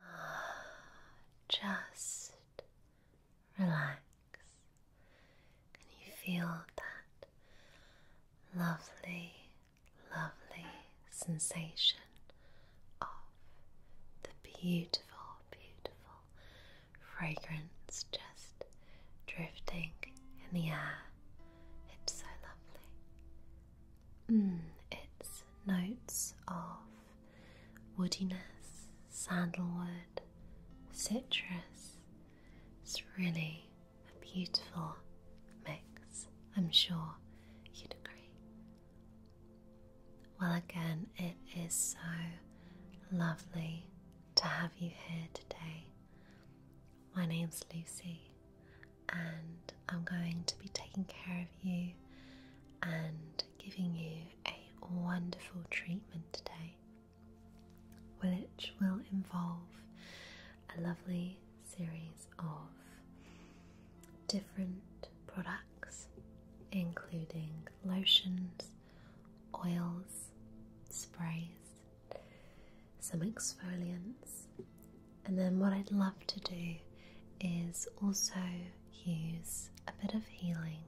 Just relax. Can you feel that lovely, lovely sensation of the beautiful, beautiful fragrance just drifting in the air? It's so lovely. Mm, its notes of woodiness, sandalwood, citrus. It's really a beautiful mix, I'm sure you'd agree. Well, again, it is so lovely to have you here today. My name's Lucy, and I'm going to be taking care of you and giving you a wonderful treatment today, which will involve a lovely series of different products, including lotions, oils, sprays, some exfoliants, and then, what I'd love to do is also use a bit of healing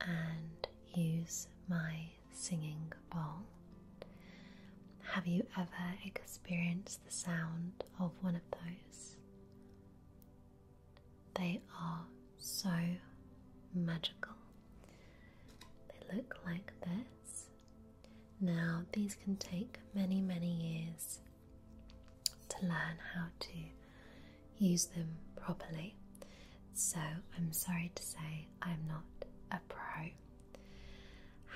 and use my singing bowl. Have you ever experienced the sound of one of those? They are so magical. They look like this. Now, these can take many, many years to learn how to use them properly. So, I'm sorry to say I'm not a pro.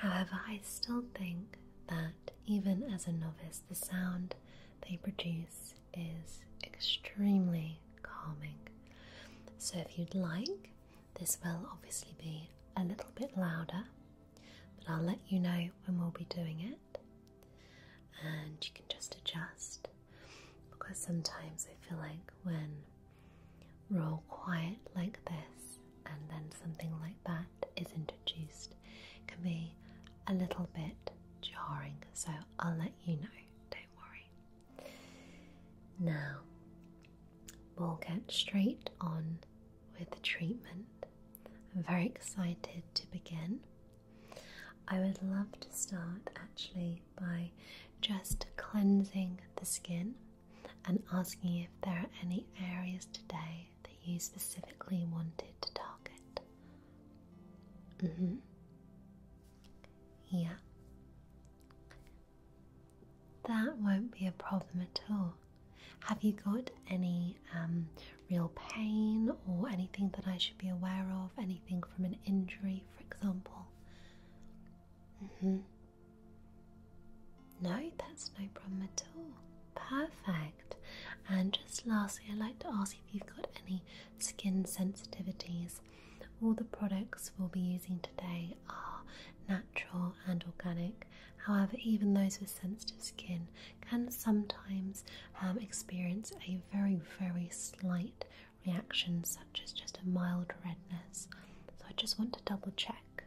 However, I still think that even as a novice, the sound they produce is extremely calming. So, if you'd like, this will obviously be a little bit louder but I'll let you know when we'll be doing it, and you can just adjust because sometimes I feel like when we're all quiet like this, and then something like that is introduced, can be a little bit jarring, so I'll let you know, don't worry. Now, we'll get straight on with the treatment. I'm very excited to begin. I would love to start actually by just cleansing the skin and asking if there are any areas today that you specifically wanted to target. Mm -hmm. Yeah. That won't be a problem at all. Have you got any um, real pain or anything that I should be aware of? Anything from an injury, for example? Mm-hmm. No, that's no problem at all. Perfect. And just lastly, I'd like to ask if you've got any skin sensitivities. All the products we'll be using today are natural and organic, However, even those with sensitive skin can sometimes um, experience a very, very slight reaction, such as just a mild redness. So, I just want to double check.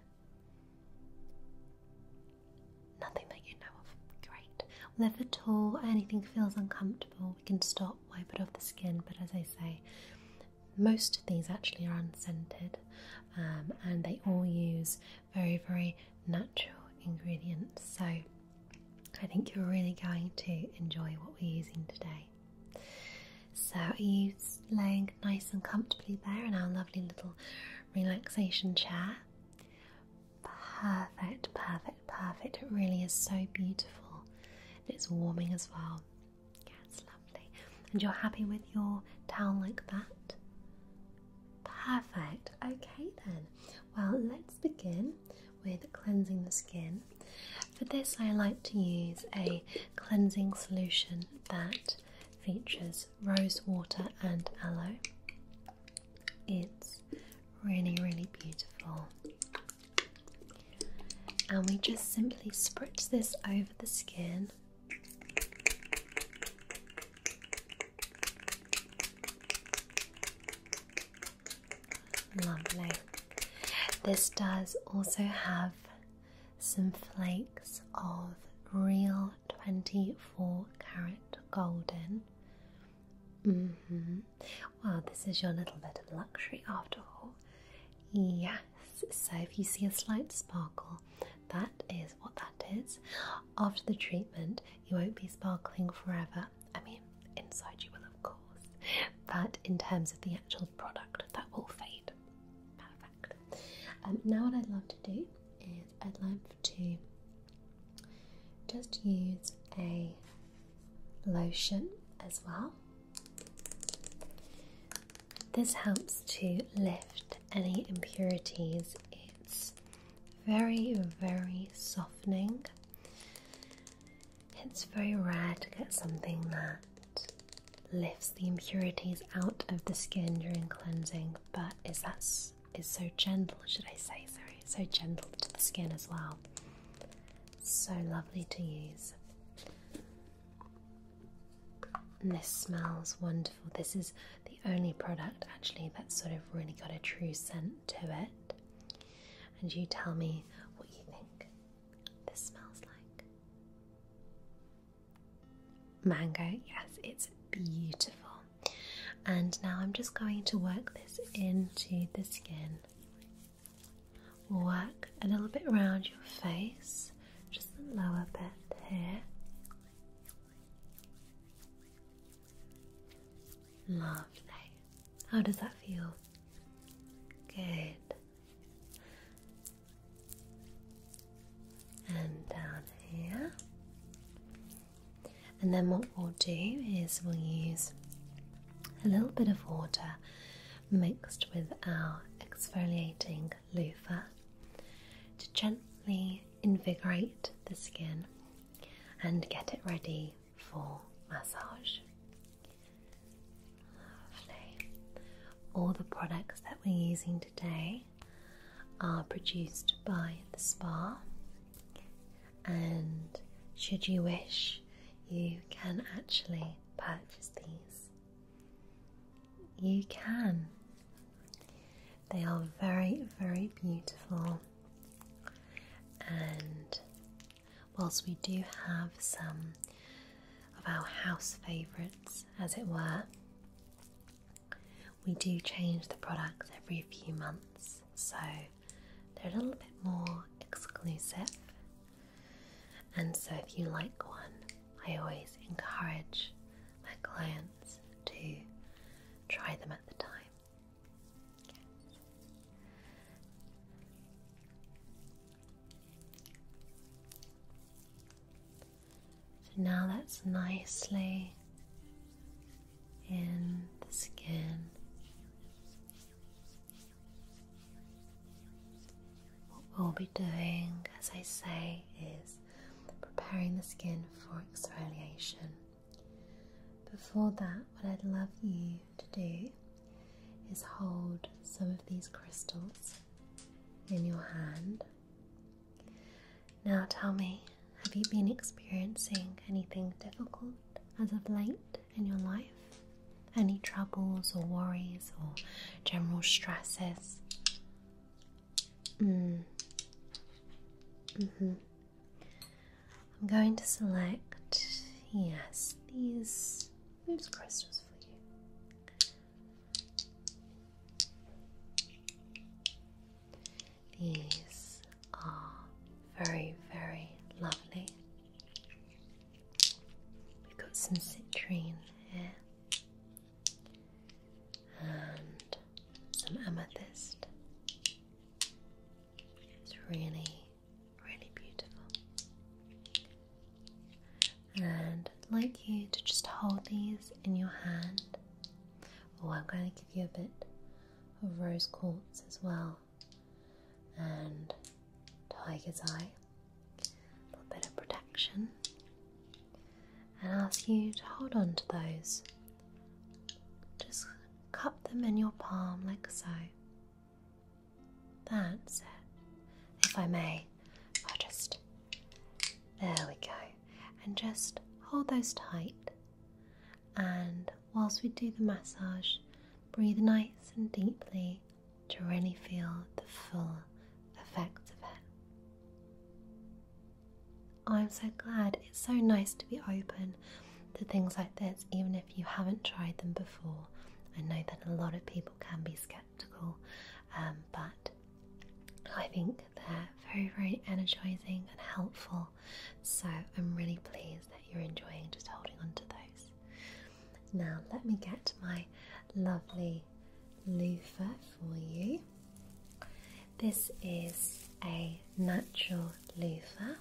Nothing that you know of. Great. if at all anything feels uncomfortable, we can stop, wipe it off the skin. But as I say, most of these actually are unscented um, and they all use very, very natural ingredients. So I think you're really going to enjoy what we're using today. So are laying nice and comfortably there in our lovely little relaxation chair? Perfect, perfect, perfect. It really is so beautiful. It's warming as well. Yeah, it's lovely. And you're happy with your towel like that? Perfect. Okay, then. Well, let's begin with cleansing the skin. For this, I like to use a cleansing solution that features rose water and aloe. It's really, really beautiful. And we just simply spritz this over the skin Lovely. This does also have some flakes of real 24 carat golden. Mm hmm Well, this is your little bit of luxury after all. Yes, so if you see a slight sparkle, that is what that is. After the treatment, you won't be sparkling forever. I mean, inside you will, of course, but in terms of the actual product, that will fade. Um, now, what I'd love to do is I'd love to just use a lotion as well. This helps to lift any impurities. It's very, very softening. It's very rare to get something that lifts the impurities out of the skin during cleansing, but is that is so gentle, should I say, sorry, so gentle to the skin as well. So lovely to use. And this smells wonderful. This is the only product actually that's sort of really got a true scent to it. And you tell me what you think this smells like. Mango, yes, it's beautiful. And now I'm just going to work this into the skin. Work a little bit around your face, just the lower bit here. Lovely. How does that feel? Good. And down here. And then what we'll do is we'll use a little bit of water mixed with our exfoliating loofah to gently invigorate the skin and get it ready for massage. Lovely. All the products that we're using today are produced by the spa, and should you wish, you can actually purchase these you can. They are very, very beautiful, and whilst we do have some of our house favourites, as it were, we do change the products every few months, so they're a little bit more exclusive. And so, if you like one, I always encourage my clients to try them at the time. So now that's nicely in the skin. What we'll be doing, as I say, is preparing the skin for exfoliation. Before that, what I'd love you to do is hold some of these crystals in your hand. Now tell me, have you been experiencing anything difficult as of late in your life? Any troubles or worries or general stresses? Mm. Mm-hmm. I'm going to select, yes, these, these crystals for you. These are very, very lovely. We've got some citrine here and some amethyst. It's really, really beautiful. And I'd like you to just hold these in your hand. Or oh, I'm going to give you a bit of rose quartz as well, and tiger's eye a little bit of protection, and ask you to hold on to those. Just cup them in your palm like so. That's it. If I may, I'll just. There we go. And just hold those tight. And whilst we do the massage, breathe nice and deeply to really feel the full effects of it. I'm so glad. It's so nice to be open to things like this, even if you haven't tried them before. I know that a lot of people can be skeptical, um, but I think they're very, very energizing and helpful. So I'm really pleased that you're enjoying just holding on to those. Now, let me get my lovely loofah for you. This is a natural loofah,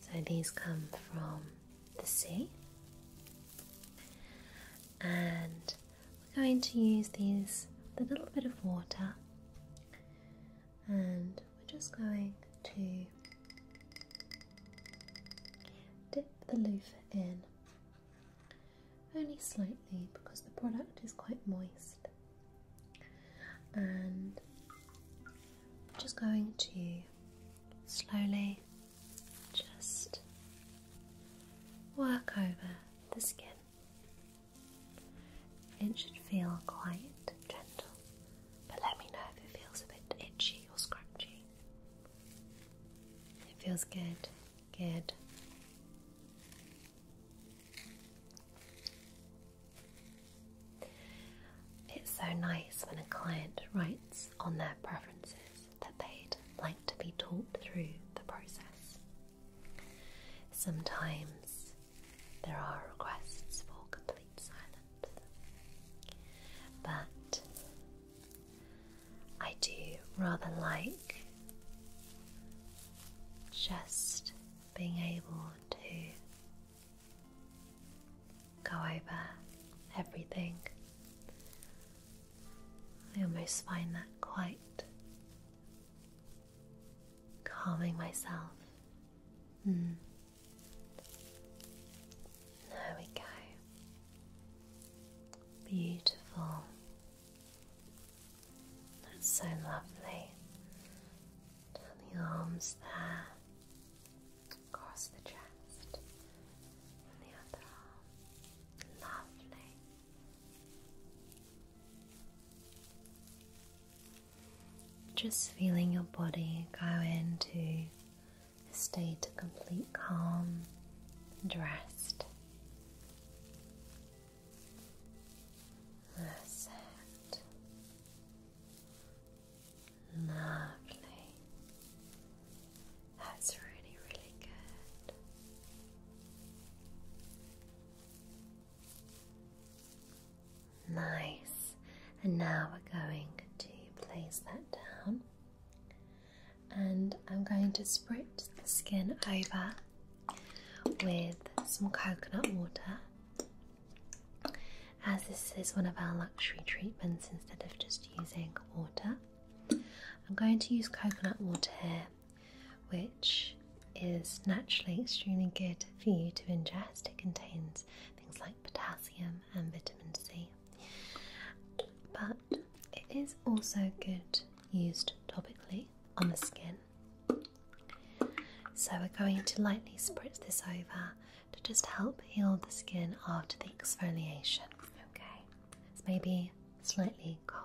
so these come from the sea, and we're going to use these with a little bit of water, and we're just going to Dip the loofah in, only slightly because the product is quite moist. And just going to slowly just work over the skin. It should feel quite gentle, but let me know if it feels a bit itchy or scratchy. It feels good. Good. It's so nice when a client writes on their preferences that they'd like to be taught through the process. Sometimes there are requests for complete silence, but I do rather like just being able to go over everything. I almost find that quite calming myself. Hmm. There we go. Beautiful. That's so lovely. the arms there, across the chest, the other arm. Lovely. Just feeling your body go into a state of complete calm and rest. Lovely. That's really, really good. Nice. And now we're going to place that down and I'm going to spritz the skin over with some coconut water. As this is one of our luxury treatments instead of just using water, I'm going to use coconut water here, which is naturally extremely good for you to ingest. It contains things like potassium and vitamin C. But it is also good used topically on the skin. So we're going to lightly spritz this over to just help heal the skin after the exfoliation. Okay, it's maybe slightly cold.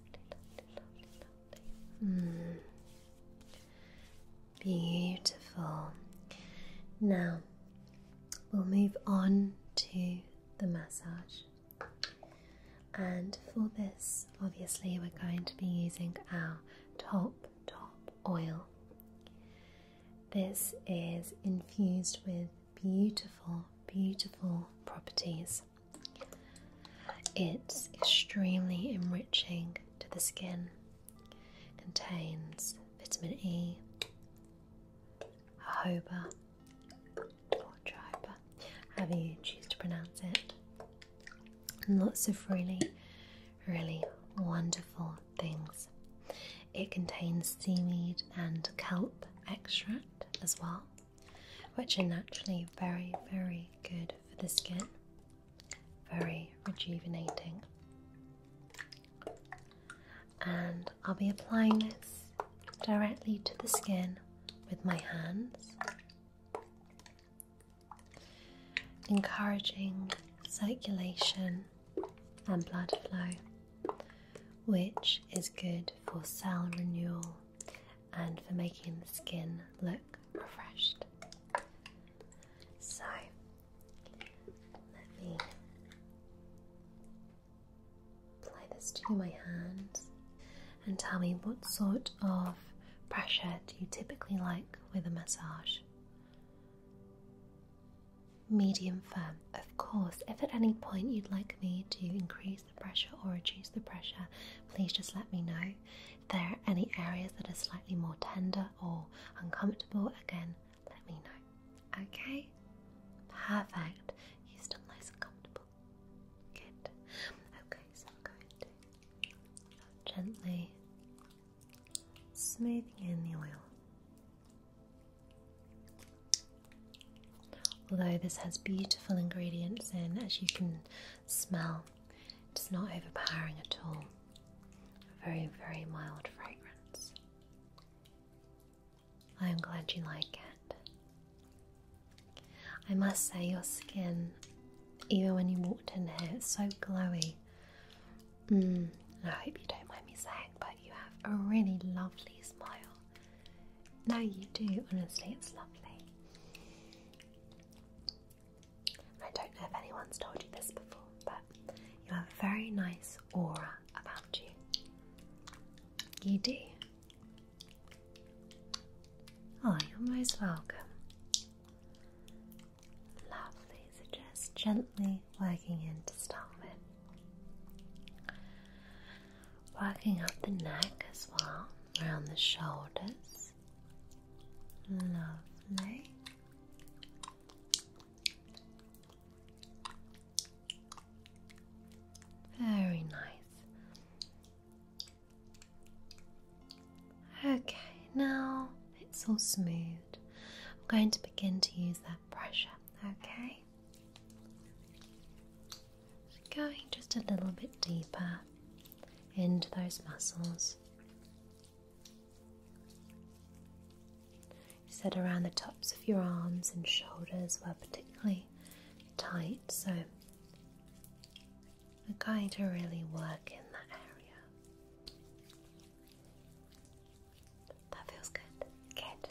Mm. Beautiful. Now we'll move on to the massage. And for this, obviously, we're going to be using our top, top oil. This is infused with beautiful, beautiful properties. It's extremely enriching to the skin, contains vitamin E, jojoba, or however you choose to pronounce it, lots of really, really wonderful things. It contains seaweed and kelp extract as well which are naturally very, very good for the skin, very rejuvenating. And I'll be applying this directly to the skin with my hands, encouraging circulation and blood flow which is good for cell renewal and for making the skin look refreshed. So, let me apply this to my hands and tell me what sort of pressure do you typically like with a massage? Medium firm, of course. If at any point you'd like me to increase the pressure or reduce the pressure, please just let me know. If there are any areas that are slightly more tender or uncomfortable, again, let me know. Okay? Perfect. You're still nice and comfortable. Good. Okay, so i gently smoothing in the oil Although this has beautiful ingredients in, as you can smell, it's not overpowering at all. very, very mild fragrance. I am glad you like it. I must say, your skin, even when you walked in here, it's so glowy. Mm, I hope you don't mind me saying, but you have a really lovely smile. No, you do. Honestly, it's lovely. I don't know if anyone's told you this before, but you have a very nice aura about you. You do. Oh, you're most welcome. Lovely. So just gently working in to start with. Working up the neck as well, around the shoulders. Lovely. Very nice. Okay, now it's all smooth. I'm going to begin to use that pressure, okay? going just a little bit deeper into those muscles. You said around the tops of your arms and shoulders were particularly tight, so we're going to really work in that area. That feels good. Good.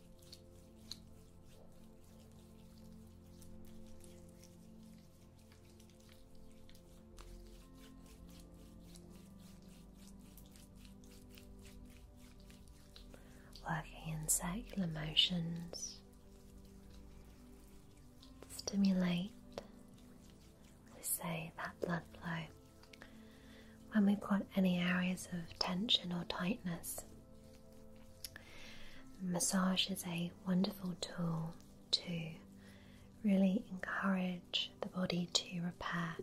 Working in circular motions to stimulate, we say, that blood flow when we've got any areas of tension or tightness. Massage is a wonderful tool to really encourage the body to repair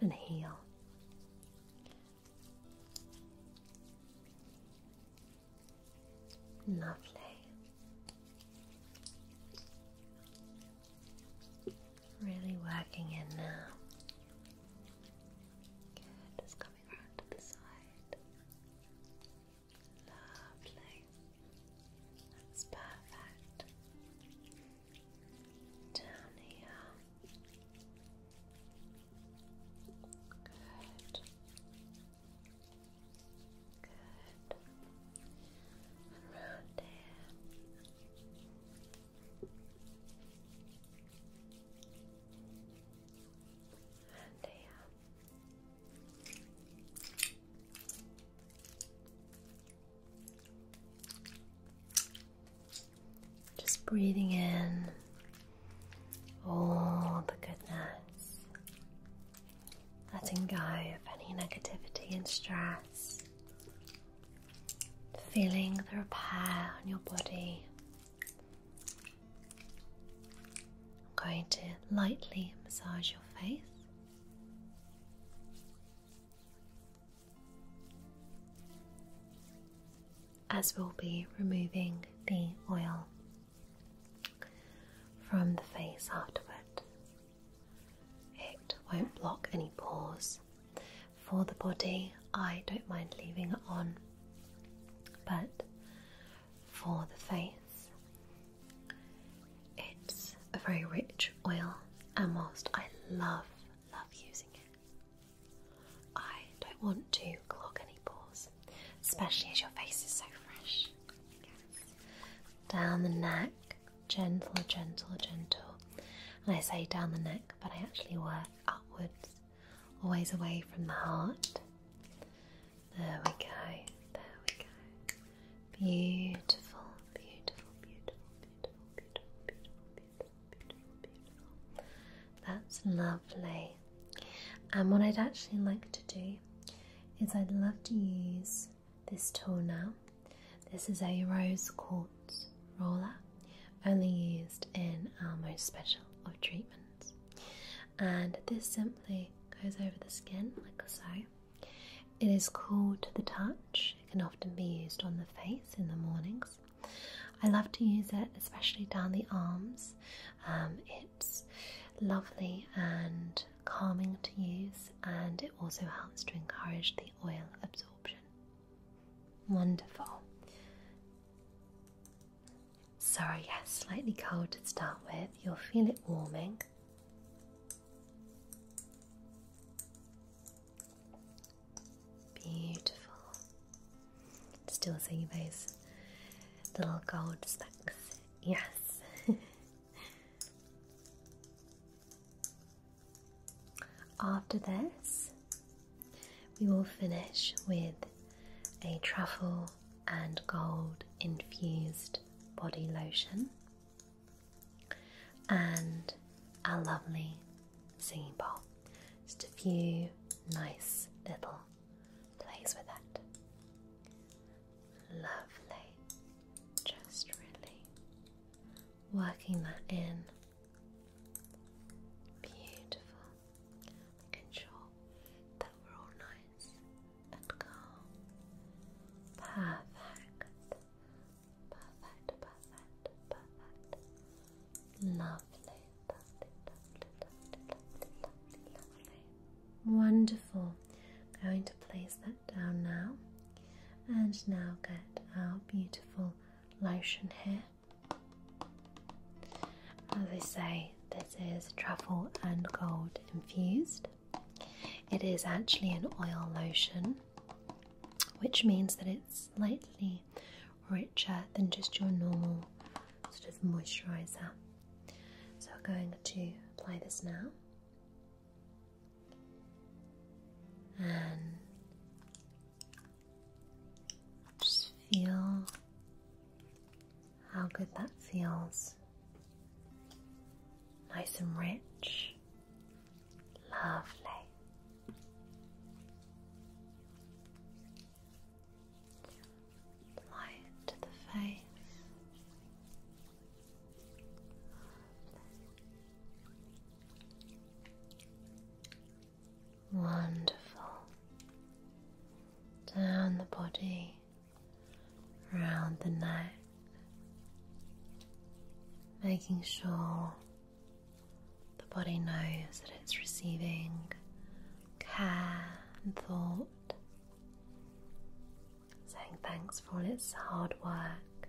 and heal. Lovely. Really working in now. Good coming around to the side. Lovely. That's perfect. Down here. Good. Good. And just breathing in all the goodness, letting go of any negativity and stress, feeling the repair on your body I'm going to lightly massage your face. As we'll be removing the oil from the face afterward, it won't block any pores, for the body, I don't mind leaving it on, but for the face, it's a very rich oil, and whilst I love, love using it, I don't want to clog any pores, especially as your face is so fresh. Down the neck, gentle, gentle, gentle. And I say down the neck, but I actually work upwards always away from the heart. There we go, there we go. Beautiful, beautiful, beautiful, beautiful, beautiful, beautiful, beautiful, beautiful, beautiful. That's lovely. And what I'd actually like to do is I'd love to use this tool now. This is a rose quartz roller, only used in our most special of treatments. And this simply goes over the skin, like so. It is cool to the touch, it can often be used on the face in the mornings. I love to use it, especially down the arms. Um, it's lovely and calming to use, and it also helps to encourage the oil absorption. Wonderful. Sorry, yes, slightly cold to start with. You'll feel it warming. Beautiful. Still seeing those little gold specks. Yes. After this, we will finish with a truffle and gold infused body lotion and a lovely singing bowl. Just a few nice little plays with that, Lovely. Just really working that in Beautiful. Making sure that we're all nice and calm. Perfect. Perfect, perfect, perfect. Lovely, lovely, lovely, lovely, lovely, Going to place that down now. And now get our beautiful lotion here. As I say, this is truffle and gold infused. It is actually an oil lotion, which means that it's slightly richer than just your normal sort of moisturizer. So, I'm going to apply this now. And just feel how good that feels. Nice and rich. Lovely. Apply to the face. Lovely. Wonderful. Down the body, round the neck, making sure the body knows that it's receiving care and thought. Saying thanks for all its hard work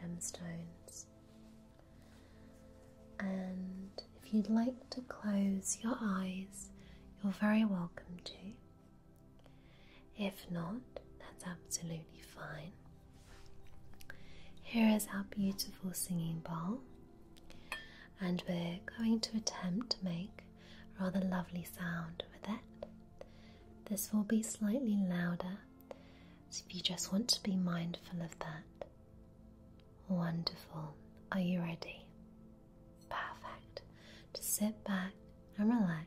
gemstones. And if you'd like to close your eyes, you're very welcome to. If not, that's absolutely fine. Here is our beautiful singing bowl, and we're going to attempt to make a rather lovely sound with it. This will be slightly louder so if you just want to be mindful of that, wonderful. Are you ready? Perfect. To sit back and relax.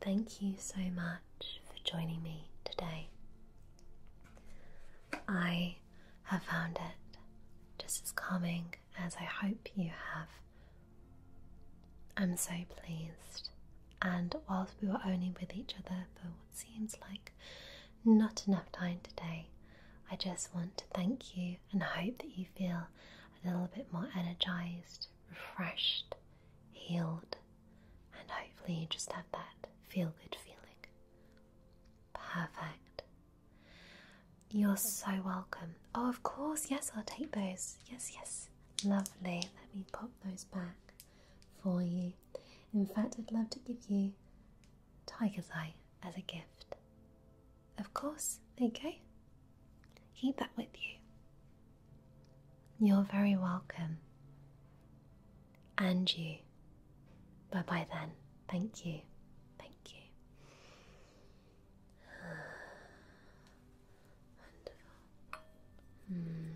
Thank you so much for joining me today. I have found it just as calming as I hope you have. I'm so pleased, and whilst we were only with each other for what seems like not enough time today, I just want to thank you and hope that you feel a little bit more energized, refreshed, healed and hopefully you just have that feel good feeling. Perfect. You're so welcome. Oh, of course, yes, I'll take those. Yes, yes. Lovely. Let me pop those back for you. In fact, I'd love to give you Tiger's Eye as a gift. Of course, there you go. Keep that with you. You're very welcome. And you. Bye bye then. Thank you. Thank you. Wonderful. Mm.